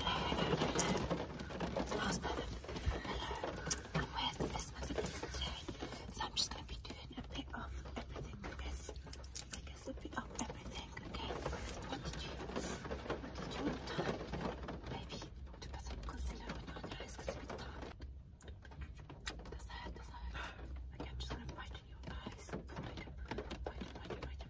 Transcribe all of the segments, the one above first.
It's past Hello. I'm wearing this magazine today. So I'm just gonna be doing a bit of everything, I guess. I guess a bit of everything, okay? What did you what did you want done? Maybe to put some concealer on your eyes because Does that does that? I'm just gonna brighten your eyes. Brighten, brighten, brighten, brighten,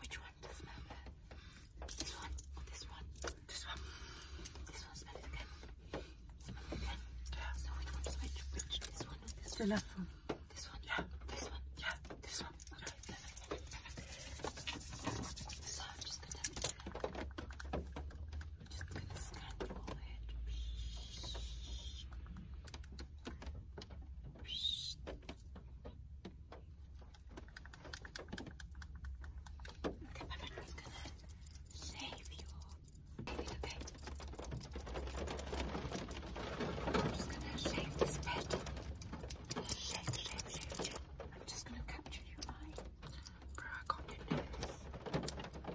Which one does smell better? This one or oh, this one? This one. This one smell it again. Smell it again. Yeah. So which one is which? Which this one or this the one? The left one. This one? Yeah. This one? Yeah. This one. Okay, yeah. perfect. perfect. So I'm just gonna I'm just gonna scan your head. Okay, my bedroom's gonna save you all. It's okay. I'm just gonna shave this bed. Shave, shave, shave, shave. I'm just gonna capture your eye. Crack nose. I'm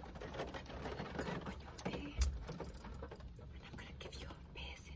gonna go on your ear. And I'm gonna give you a piercing.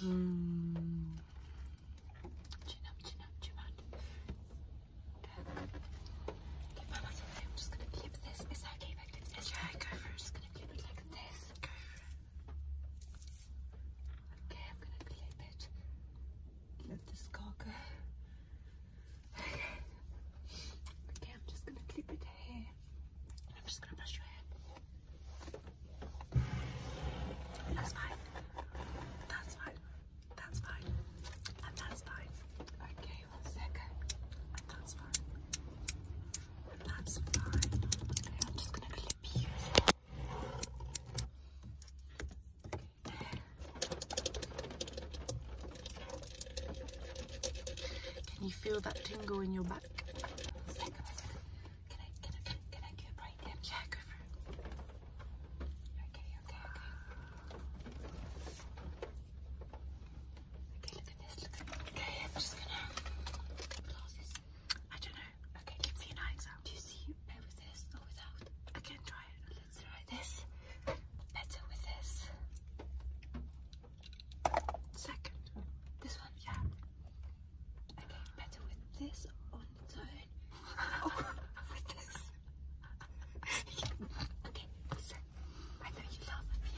Hmm. Chin up, chin up, chin up. Okay, Mama, so I'm just gonna keep this. Is that okay if I go for it. gonna clip it like this. Okay, I'm gonna clip it. Clip this go. Okay. I'm just gonna clip it here. I'm just gonna brush your hair. That's fine. That's fine. That's fine. And that's fine. Okay, one second. that's fine. that's fine. Okay, I'm just gonna clip you. Can you feel that tingle in your back? Can I, can I, can I get right in? Yeah, go for it. Okay, okay, okay. look at this, Okay, I'm just gonna put the I don't know Okay, give me an eye exam. Do you see better with this or without? Again, try it. Let's try this. Better with this. Second. This one? Yeah. Okay, better with this on its own. Oh, with this. okay, so I know you love me.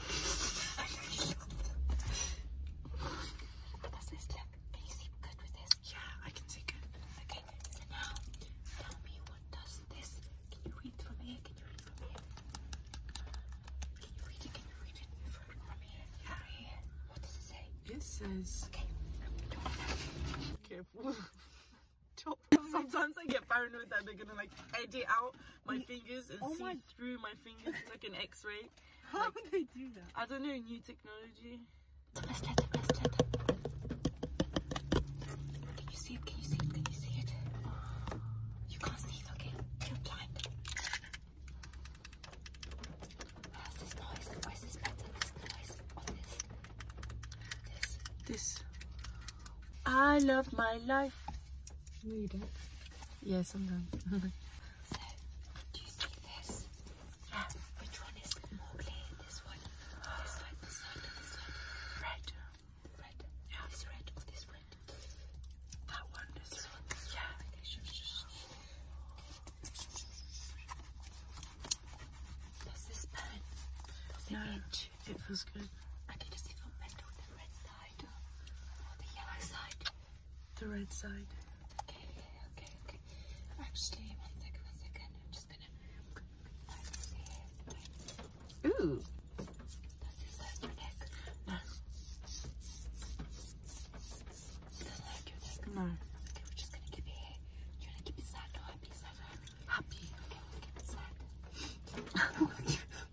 I know you love me. What does this look can you see good with this? Yeah, I can see good. Okay, so now tell me what does this? Can you read from here? Can you read from here? Can you read it? Can you read it from, from here? Yeah. From here? What does it say? It says. Okay. Careful. Top. Sometimes I get paranoid that they're gonna like edit out my fingers and oh see my... through my fingers like an X-ray. How would they do that? I don't know, new technology. Can you see it? Can you see it? Can you see it? You can't see okay? You're blind. Where's this noise? Where's this noise? this? I love my life. No, you don't. I'm done. So, do you see this? Yeah. Which one is more clear? This one? This one? This one? This one? Red. Red? Yeah. This red or this red? That one. This, one. Yeah. Okay, sure, Does this burn? no, it feels good. Okay, does it feel better on the red side or the yellow side? the red side. Okay, okay, okay. Actually, one second, one second. I'm just gonna. Ooh. that's this hurt your neck? No. It not your neck? No. Okay, we're just gonna keep you. here. You wanna keep it sad or happy? happy? Okay, we'll sad.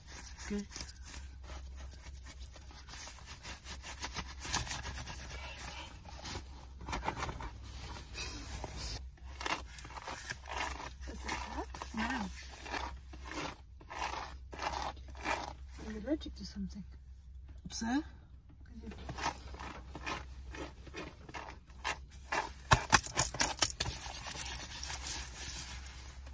Okay. it work? No. You're allergic to something. Sir?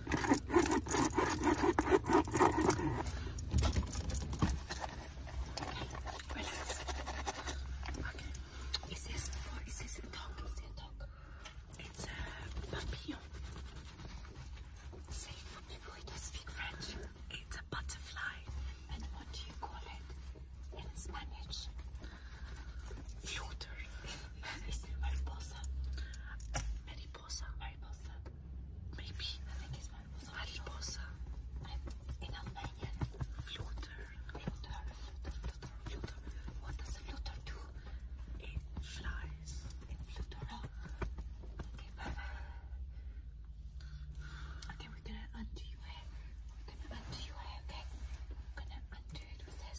Relax. Okay. Is this what is this a dog? Is it a It's a papillon. Say people who speak French. It's a butterfly. And what do you call it? In Spanish. Flutter. is it mariposa? mariposa. Mariposa. Maybe. I think it's mariposa. Mariposa. In Albanian. Flutter. Flutter. Flutter. Flutter. What does flutter do? It flies. It flutter. Okay, bye Okay, we're gonna undo your We're gonna undo your okay? I'm gonna undo it with this.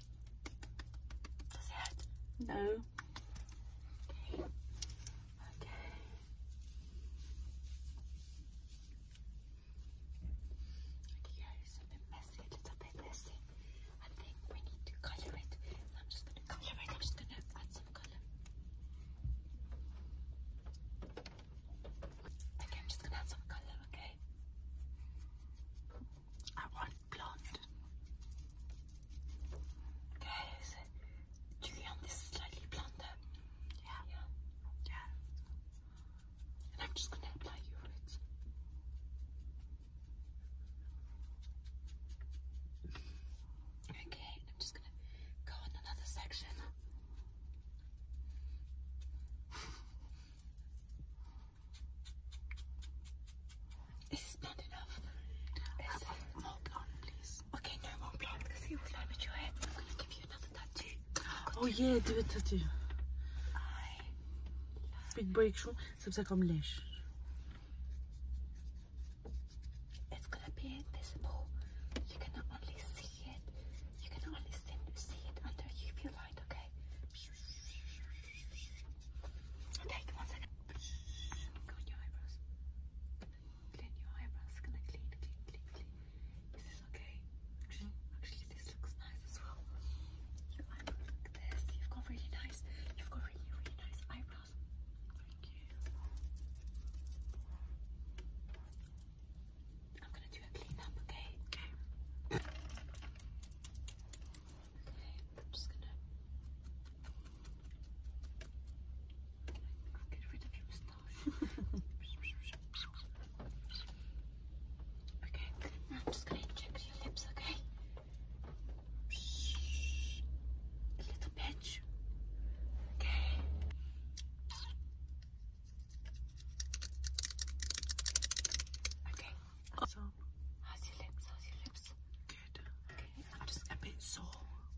Does it? No. Okay. Okay. Okay, yeah, it's a bit messy, a bit messy. I think we need to color it. I'm just gonna color it. I'm just gonna add some color. Okay, I'm just gonna add some color, okay? I want blonde. Guys, do you want this slightly blonder? Yeah. Yeah. Yeah. And I'm just going to apply you for Okay, I'm just going to go in another section. This is not enough. There's more please. Okay, no more blonde because he will damage your I'm gonna give you another tattoo. Oh yeah, do a tattoo. Big breakthrough, c'est ça comme lèche. It's gonna be invisible. You can only see it. You can only see it under UV light, okay? okay? Okay, one second. Clean your eyebrows. Clean your eyebrows. Can I clean, clean, clean, clean? Is this okay? Actually, actually, this looks nice as well. look like this. You've got really nice. You've got really, really nice eyebrows. Thank you. I'm gonna do a clean up, okay? Okay. Okay, I'm just gonna i am just gonna inject your lips, okay? little pinch. Okay. Okay. So, how's your lips? How's your lips? Good. Okay. i just a bit sore.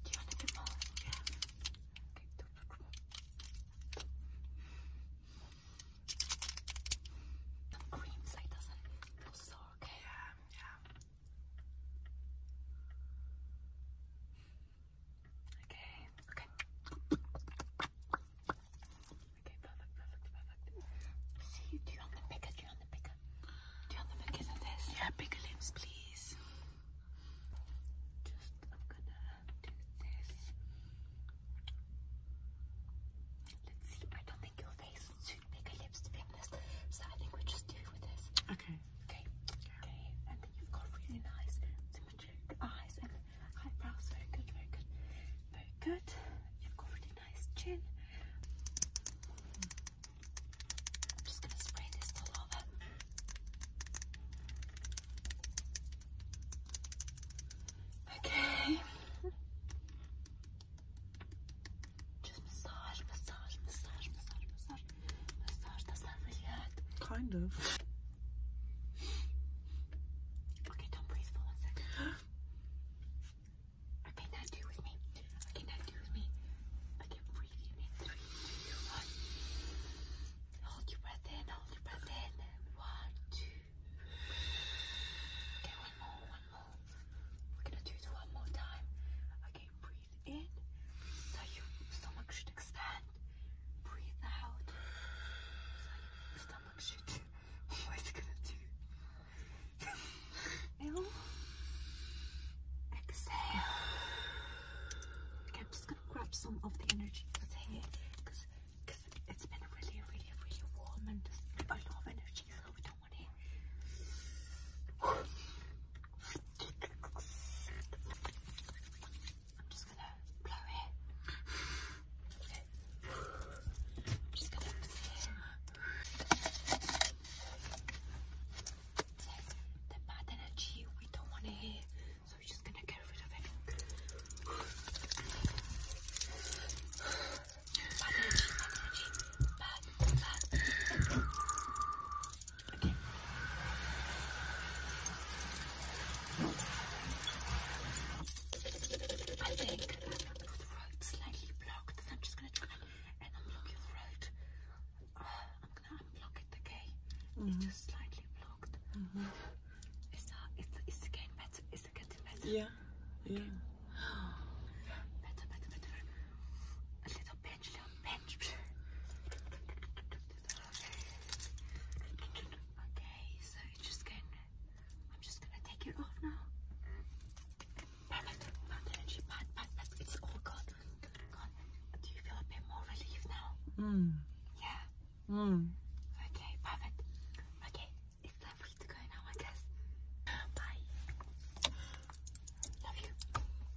Do you a bit more? Yeah. Okay. Some creams like doesn't feel sore. Okay. Yeah. Okay, okay. Okay, perfect, perfect, perfect. See you, do you the bigger, do you the bigger? Do you the bigger than this? Yeah, bigger limbs, please. Just, I'm gonna do this. Let's see, I don't think your face would suit bigger lips to be honest, so I think we'll just do with this. Okay. Okay, okay, and then you've got really nice, eyes and eyebrows. Very good, very good, very good. You've got really nice chin. I'm just gonna spray this all over. Okay. Just massage, massage, massage, massage, massage, massage. Does that really Kind of. Okay, don't breathe for one second. Okay, now do with me. Okay, now do with me. Okay, breathe in three, two, one. Hold your breath in, hold your breath in. One, two. Okay, one more, one more. We're gonna do it one more time. Okay, breathe in. So your stomach should expand. Breathe out. stomach shit. what is it gonna do? Ew. Exhale. Okay, I'm just gonna grab some of the energy that's here because it's been really, really, really warm and just a lot of energy, so we don't want it. I'm just gonna blow it. I'm just gonna so, the bad energy we don't want to hear, so we're just gonna get rid of it. Bad energy, bad energy, bad, bad. Okay. I think the throat's slightly blocked, so I'm just going to try and unblock your throat. Uh, I'm going to unblock it, okay? It's mm-hmm. just slightly blocked. Mm -hmm. Is, that, is, getting better? Is getting better? Yeah. Yeah. Better, better, better. A little pinch, little pinch. Okay, so I'm just gonna take it off now. Perfect. energy, but but but it's all gone. Gone. Do you feel a bit more relieved now? Mm. Yeah. Mm. Okay, perfect. Okay, it's time for you to go now, I guess. Bye. Love you.